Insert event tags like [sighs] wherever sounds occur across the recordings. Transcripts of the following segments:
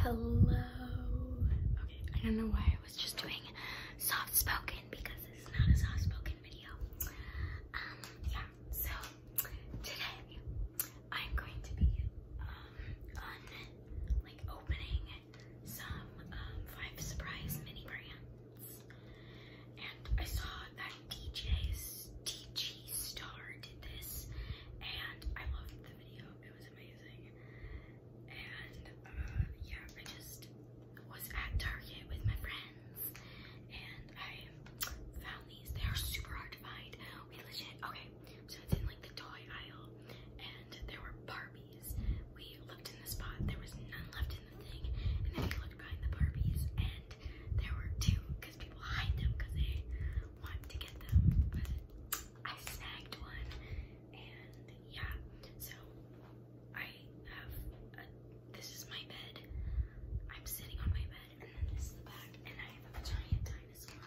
Hello. Okay, I don't know why I was just doing soft spoken because it's not a soft spoken video. Um, yeah, so today I'm going to be um on like opening some um five surprise mini brands. And I saw that DJ's DG Star did this and I loved the video. It was was amazing. And uh, yeah, I just was at Target with my friends and I found these. They are super hard to find. We legit, okay, so it's in like the toy aisle and there were Barbies. We looked in the spot, there was none left in the thing. And then we looked behind the Barbies and there were two because people hide them because they want to get them. I snagged one, and yeah, so I have this is my bed. I'm sitting on my bed, and then this is the back, and I have a giant dinosaur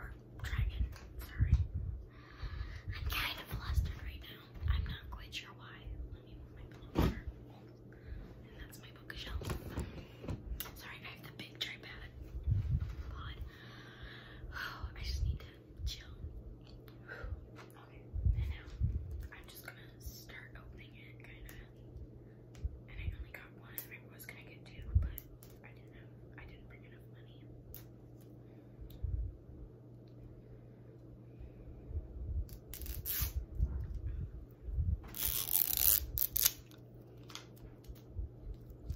or dragon. Sorry, I'm kind of flustered right now. I'm not quite sure why. Let me move my pillow over, and that's my bookshelf. Sorry, I have the big tripod. I just need to chill. Okay, and I'm just gonna start opening it, kind of. And I only got one. I was gonna get two, but I didn't have. I didn't bring enough money.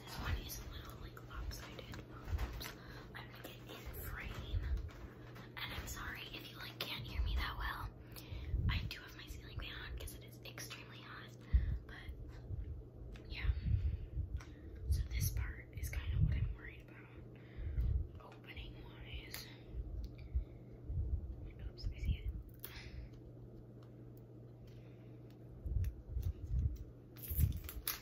this one is a little like lopsided. Oops. I'm gonna get in frame. And I'm sorry if you like can't hear me that well. I do have my ceiling fan on because it is extremely hot. But yeah. So this part is kind of what I'm worried about. Opening wise. Oops, I see it. I took off the top.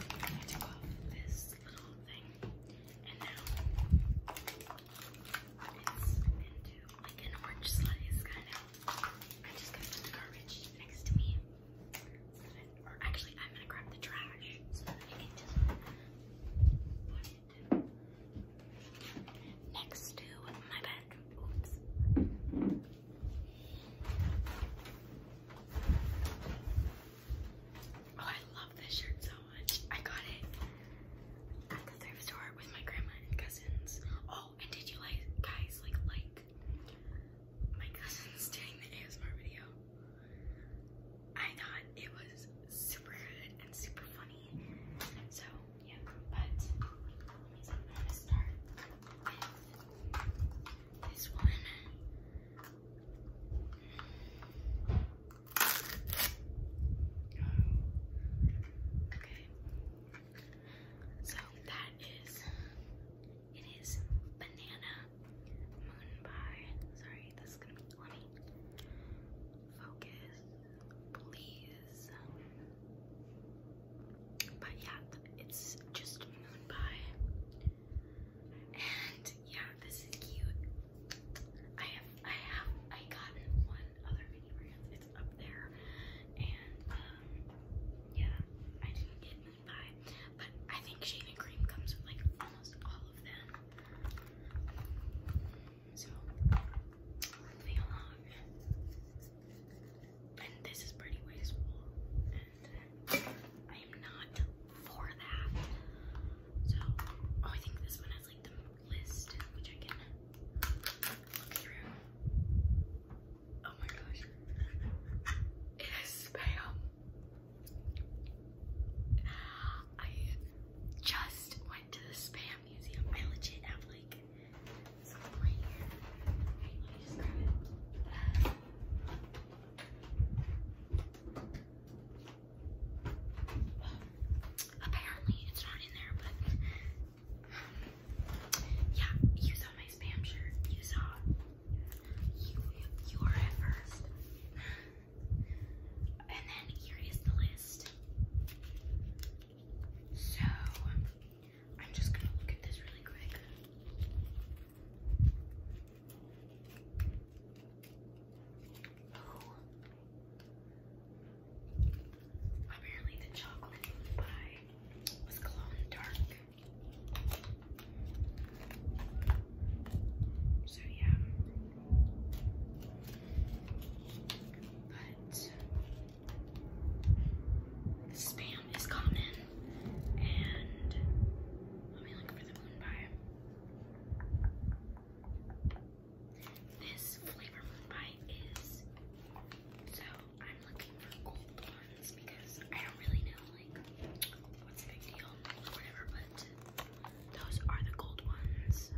I took off this little thing and now it's into like an orange slice, kind of. i just gonna the garbage next to me. or actually, I'm gonna grab the trash so I can just put it next to my bed. Oops. Oh, I love this shirt so much. I got it at the thrift store with my grandma and cousins. Oh, and did you like guys like like my cousins doing the ASMR video? I thought it was super good and super funny. So yeah, but I'm start with this one. Okay. So that is it is banana moon pie. Sorry, this gonna be let me focus, please. But yeah, it's just moon pie. And yeah, this is cute. I have I have I gotten one other mini rant. It's up there. And um, yeah, I didn't get them But I think shaving cream comes with like almost all of them. So moving along. And this is pretty wasteful. I am not for that. So, oh, I think this one has like the list, which I can look through. Oh my gosh, [laughs] it is spam. I just went to the spam museum. I legit have like Apparently it's not in there, but yeah, you saw my spam shirt. You saw you you at first. And then here is the list. So I'm just gonna look at this really quick. Oh. Apparently the chocolate pie was glow in the dark. So yeah. But spam is common and let me look for the moon pie. This flavor moon pie is so I'm looking for gold ones because I don't really know like what's a big deal or whatever, but those are the gold ones.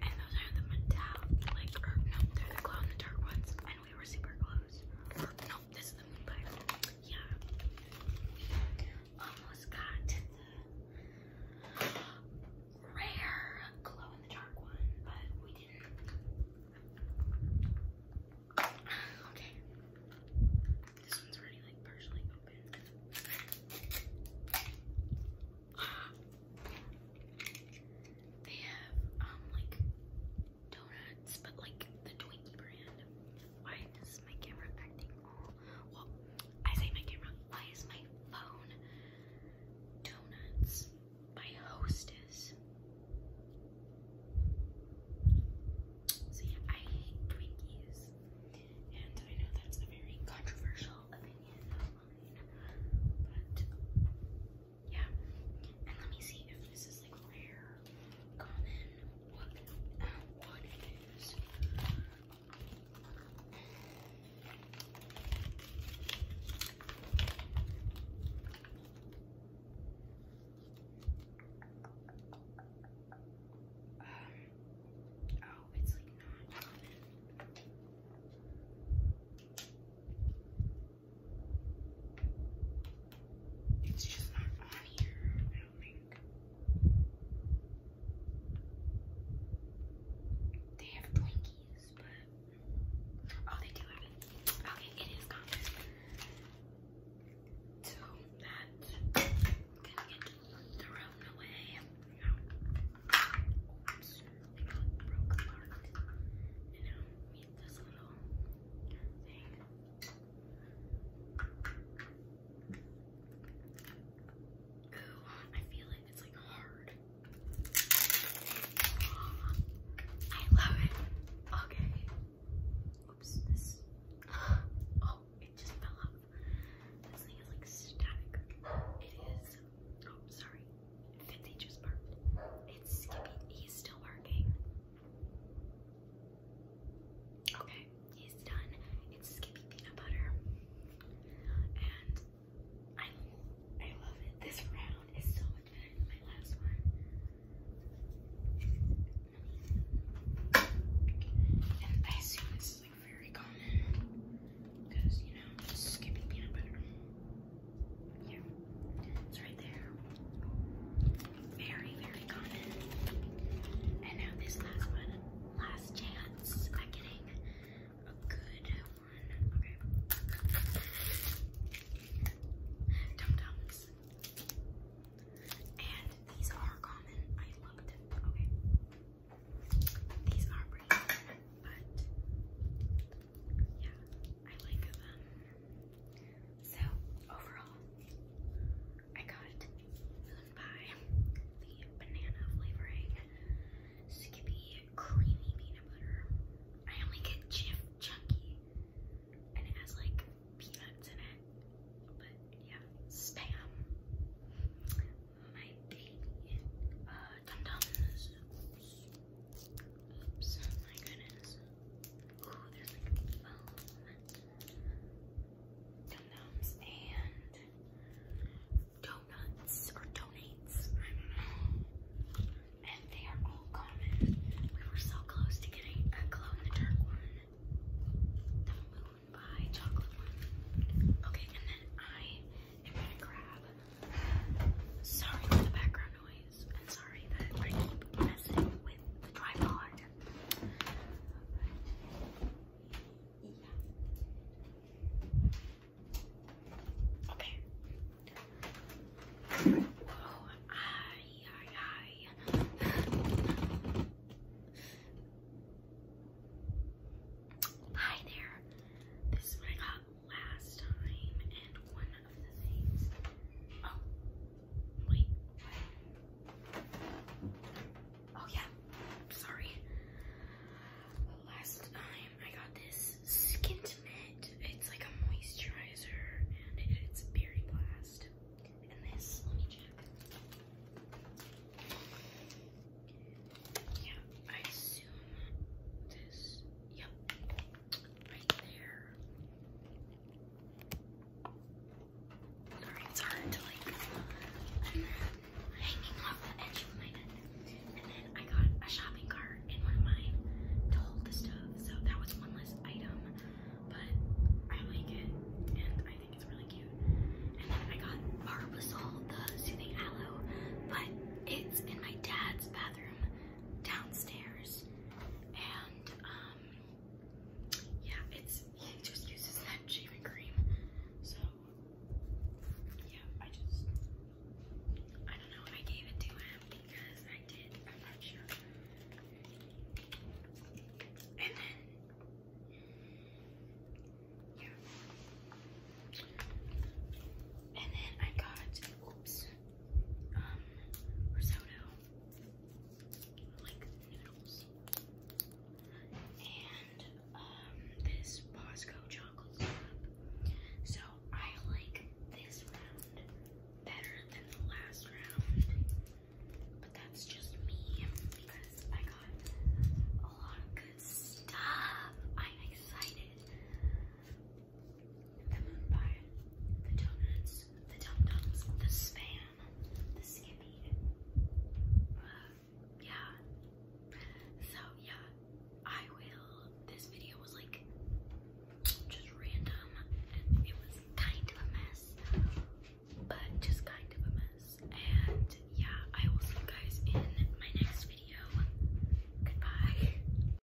And those are the metallic like no, they're the glow in the dark ones and we were super close. no, this is the moon pie. Yeah almost got to the rare glow in the dark one, but we didn't. [sighs] Okay. This one's already like partially open. [sighs] They have um like donuts, but like the Twinkie brand. I say my camera why is my phone donuts by hostess so I hate Twinkies and I know that's a very controversial opinion but yeah and let me see if this is like rare common what, what it is. Um, oh, it's not it's just not on here, I don't think. They have Twinkies, but oh, they do have Okay, it is Congress. So that can get thrown away. No. got broke apart. And now we this little thing. Ooh, I feel it. It's like hard. I love it. Okay. Oops, this. [gasps] Oh, it just fell off. This thing is like static. It is. Oh, sorry. Fitzy just burped. It's Skippy. He's still working. Okay, he's done. It's Skippy peanut butter, and I I love it. This round is so much better than my last one. And I assume this is like very common because you know Skippy peanut butter. Yeah. It's right there. Very, very common. And now this last one, last chance at getting a good one. Okay. Dum dums. And these are common. I looked. Okay. These are pretty but yeah, I like them. So overall, I got Moon Pie, the banana flavoring, Skippy creamy peanut butter. I only get Jif Chunky, and it has like peanuts in it. But yeah, spam. My baby, uh, Dum Dums. Oops, my goodness. Oh, and donuts or donates. And they are all common. We were so close to getting a glow-in-the-dark one. The moon by chocolate one. Okay, and then I am gonna grab. Sorry for the background noise. I'm sorry that I keep messing with the tripod. Okay. Hi there. This is what I got last time, and one Oh, wait, Oh yeah, sorry. last time I got this Skintnet, it's like a moisturizer and it's Berry Blast. And this, let me check. Yeah, I assume this, yep, right there. Sorry, to like. i hanging off the edge of my bed. And then I got a shopping cart in one of mine to hold the stove, so that was one less item. But I like it, and I think it's really cute. And then I got Barbasol, the soothing aloe, but it's in my dad's bathroom downstairs. And um, yeah, it's he just uses that shaving cream. So yeah, I just I don't know. I gave it to him because I did. I'm not sure. And then yeah, and then I got oops. Um, risotto, like noodles, and um, this Bosco chocolate So I like this round better than the last round, but that's just me because I got a lot of good stuff. I'm excited. Come on by the donuts, the dum-dums, the spam, the skippy. yeah. So yeah, I will. This video was like just random, and it was kind of a mess, but just kind of a mess. And yeah, I will see you guys in my next video. Goodbye.